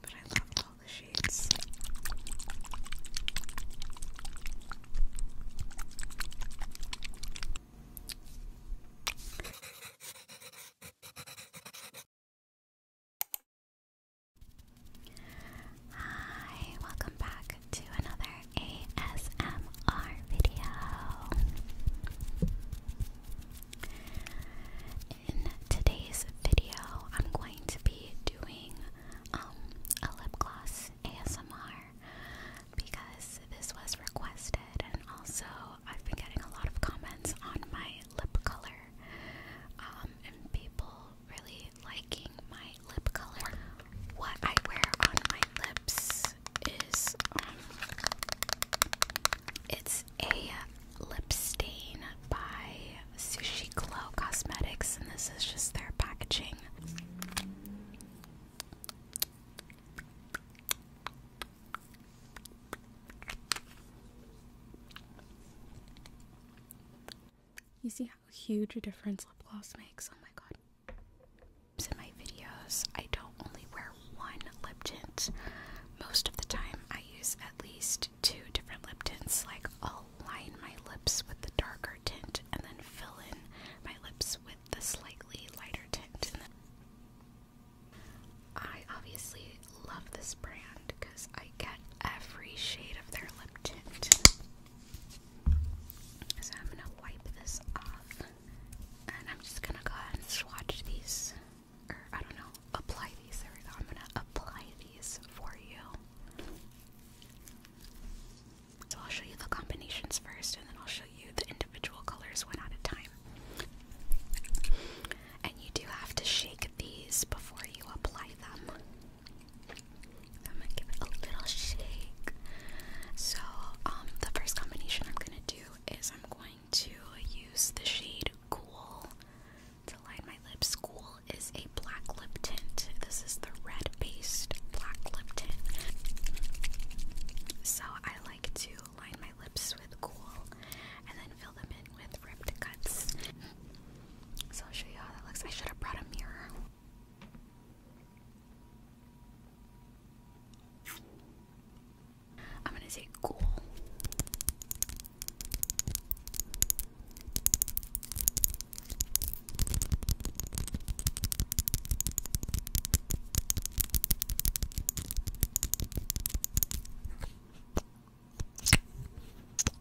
But I love all the shades. Hi, welcome back to another ASMR video. In today's video, I'm going to be doing um, a lip gloss ASMR because this was requested, and also I've been getting a lot of comments on my lip color um, and people really liking my lip color. What I wear on my lips is um, it's a lip stain by Sushi Glow Cosmetics, and this is just their packaging. You see how huge a difference lip gloss makes? Oh my god. In my videos, I don't only wear one lip tint. Most of the time, I use at least two different lip tints. Like, I'll line my lips with the darker tint and then fill in my lips with the slightly lighter tint. I obviously love this brand because I get every shade of their lip tint. So I'm gonna wipe this off and I'm just gonna go and swatch these, or I don't know, apply these. There we go. I'm gonna apply these for you. So I'll show you the combinations first and then I'll show you the individual colors one at a time and you do have to shake these before you apply them. I'm gonna give it a little shake. So, um, the first combination I'm gonna do is I'm going to use the shade Cool to line my lips. Cool is a black lip tint. This is the red based black lip tint. So, I like to line my lips with Cool and then fill them in with ripped so I'll show you how that looks. I should have brought a mirror. I'm gonna say cool.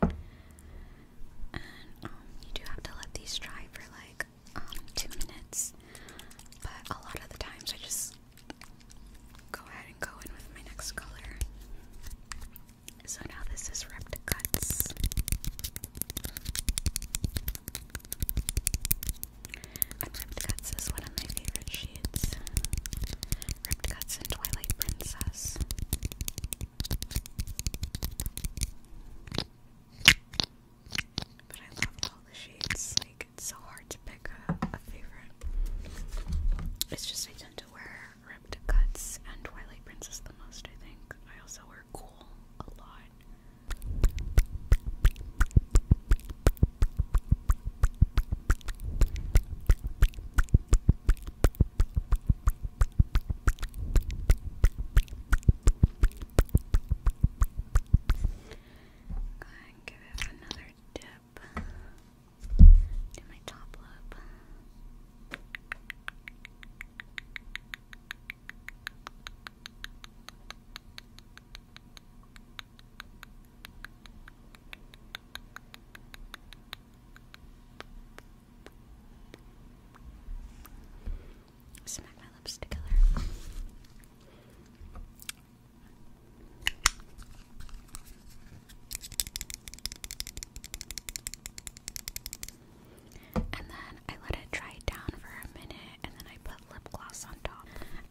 Um, you do have to let these dry for like um, two minutes, but a lot of the times I just go ahead and go in with my next color. So now this is ripped cuts. Ripped Guts is one of my favorite shades. Ripped Guts and Twilight Princess. But I love all the shades. Like, it's so hard to pick a, favorite. It's just I tend to wear Ripped cuts and Twilight Princess the most, I think. I also wear Cool a lot. Go ahead and give it another dip to my top lip. Smack my lips together. and then I let it dry down for a minute and then I put lip gloss on top.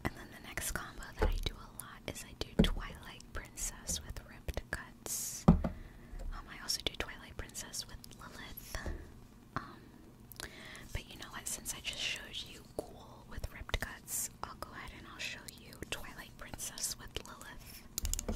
And then the next combo that I do a lot is I do Twilight Princess with ripped cuts. Um, I also do Twilight Princess with Lilith. Um, but you know what? Since I just showed you Ghoul with ripped cuts, I'll go ahead and I'll show you Twilight Princess with Lilith.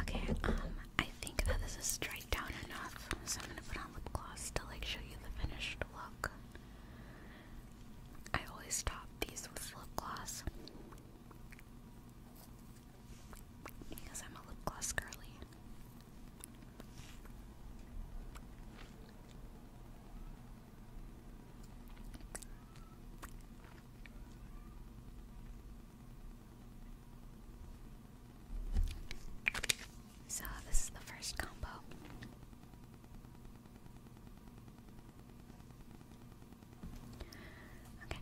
Okay, um, I think that this is straight down enough, so I'm gonna put on lip gloss to like show you the finished look. I always top these with lip gloss because I'm a lip gloss girly. So, this is the first combo. Okay.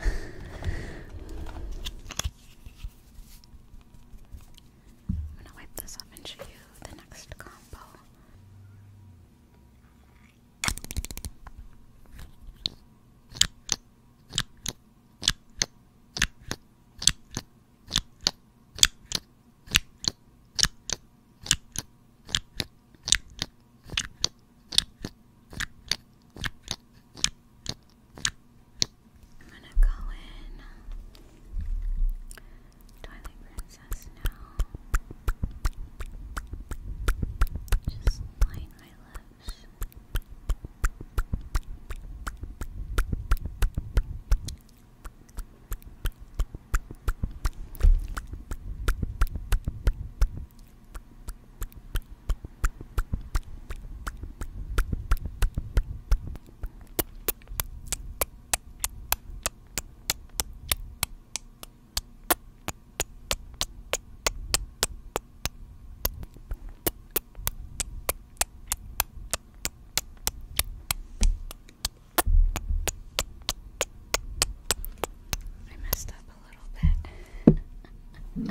I'm gonna wipe this up and show you the next comment example. I'm going to go in Twilight Princess now. Just line my lips. I messed up a little bit.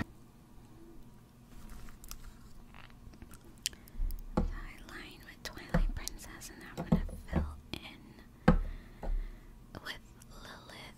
I line with Twilight Princess, and I'm gonna in with Lilith.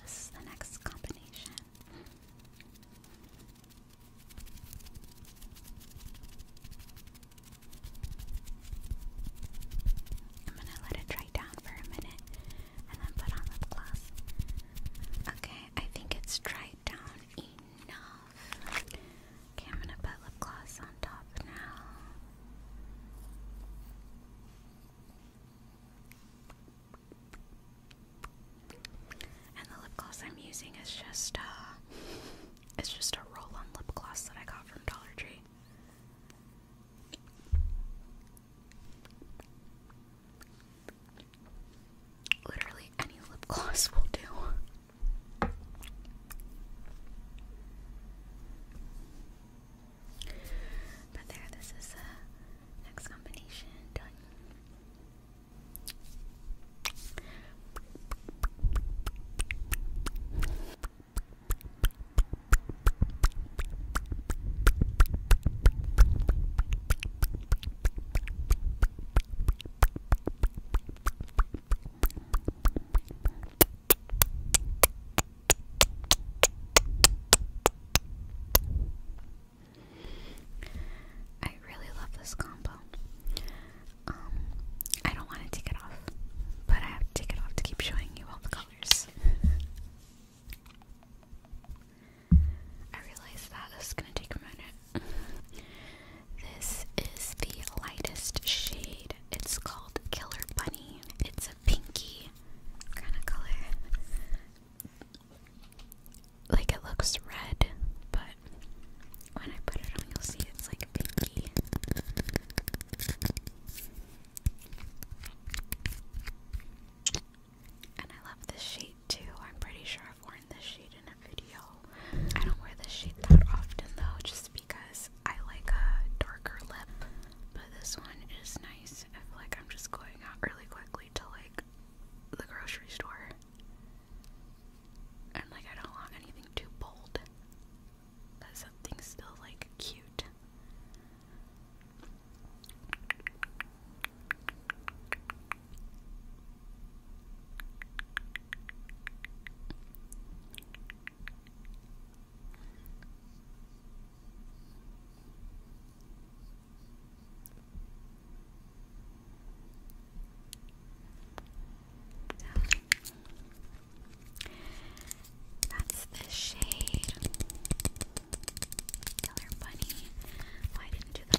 This is the next combination. I'm gonna let it dry down for a minute and then put on lip gloss. Okay, I think it's dried down enough. Okay, I'm gonna put lip gloss on top now. And the lip gloss I'm using is just uh it's just a roll-on lip gloss that I got from Dollar Tree. Literally any lip gloss will do. But there, this is the next combination done. I really love this combo. Um, I don't want to take it off, but I have to take it off to keep showing you all the colors. I realize that this is gonna take a minute. this is the lightest shade. It's called Killer Bunny. It's a pinky kind of color. Like it looks red, but when I put it on, you'll see it's like pinky. And I love this shade too. I'm pretty sure I've worn this shade in a video. I don't wear this shade that often though, just because I like a darker lip. But this one is nice. I feel like I'm just going out really quickly to like the grocery store. And like I don't want anything too bold. But something's still like cute. That's the shade Killer Bunny. Why didn't do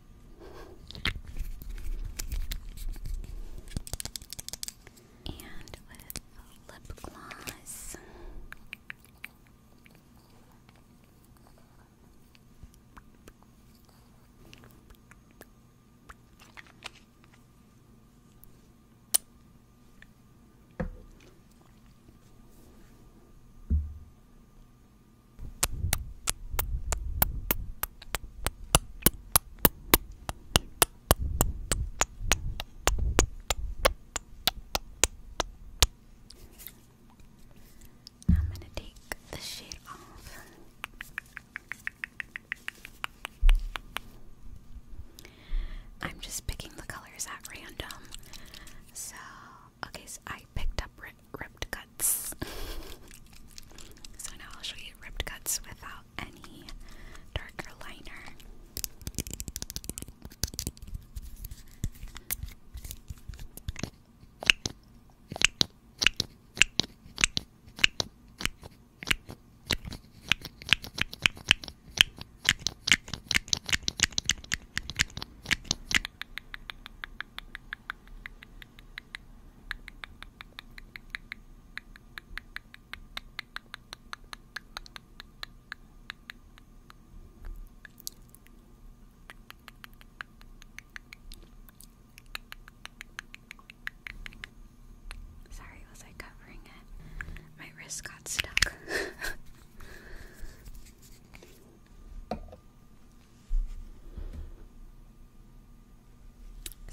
And with lip gloss. I'm going to take the shade off. I'm just picking the colors at random. So Okay, so I picked up ripped cuts. so now I'll show you ripped cuts without any darker liner. Sorry, was I covering it? My wrist got stuck.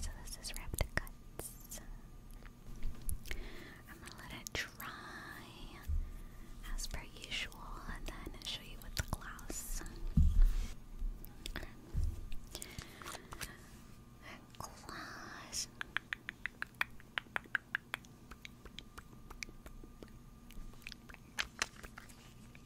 So this is wrap the cuts. I'm gonna let it dry as per usual and then show you with the gloss. Gloss.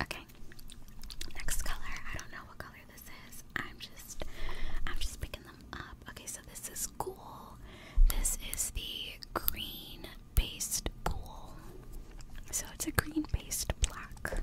Okay. Next color. I don't know what color this is. I'm just I'm just picking them up. Okay, so this is cool. This is the green based cool. So it's a green based black.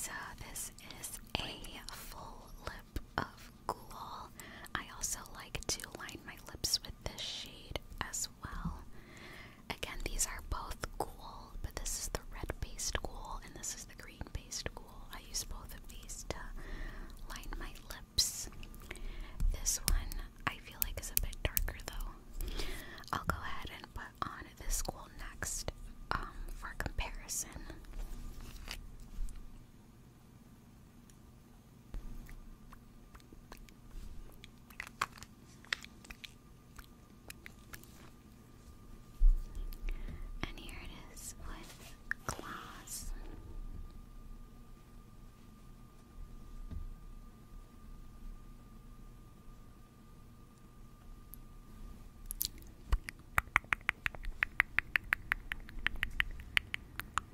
So, this is a full lip of of I also like to line my lips with this shade as well. Again, these are both cool, but this is the red based cool and this is the green based cool. I use both of these to line my lips. This one I feel like is a bit darker though. I'll go ahead and put on this cool next um, for comparison. And here it is with glass.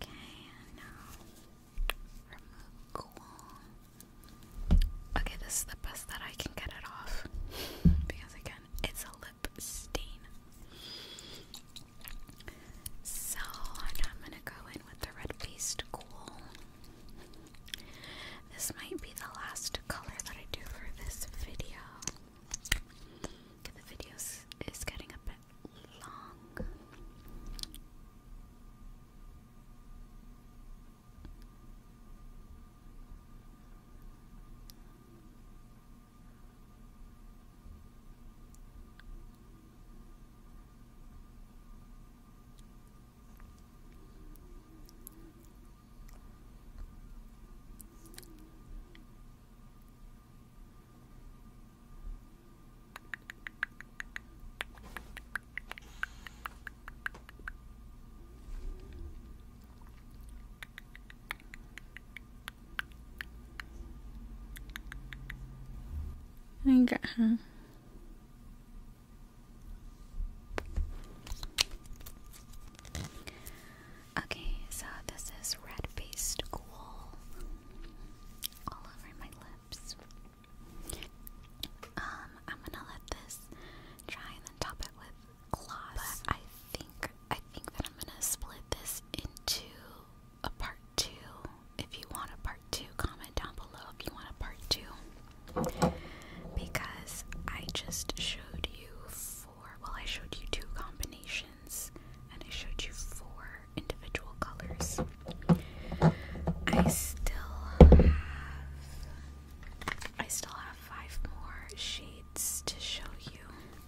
Okay, now remove cool. Okay, this is the best that I can get it off because again, it's a lip stain. So I'm gonna go in with the red paste cool. This might be the last color that I do for this video. The video is getting a bit long. I got her. Uh-huh. Okay, so this is red-faced ghoul all over my lips. Um, I'm gonna let this dry and top it with gloss. But I think I think that I'm gonna split this into a part two. If you want a part two, comment down below if you want a part two. Because I just showed you four well I showed you two combinations and I showed you four individual colors. I still have I still have five more shades to show you.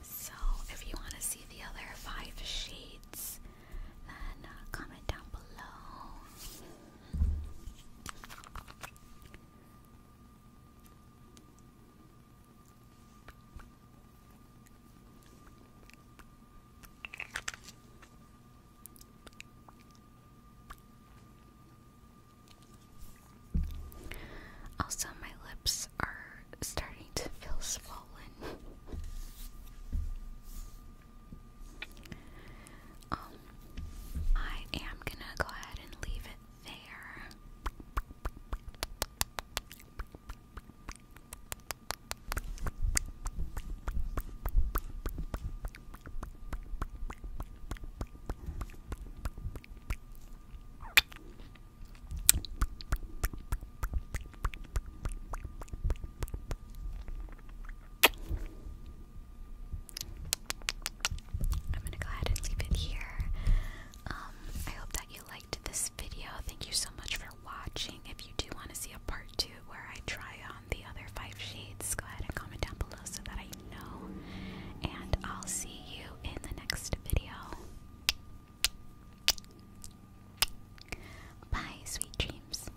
So if you want to see the other five shades, then uh, comment down below. Also, my lips are starting to feel swollen. um, I am gonna go ahead and leave it there. I'm going to go ahead and leave it here. Um, I hope that you liked this video. Thank you so much for watching. If you do want to see a part two where I try on the other five shades, go ahead and comment down below so that I know. And I'll see you in the next video. Bye, sweet dreams.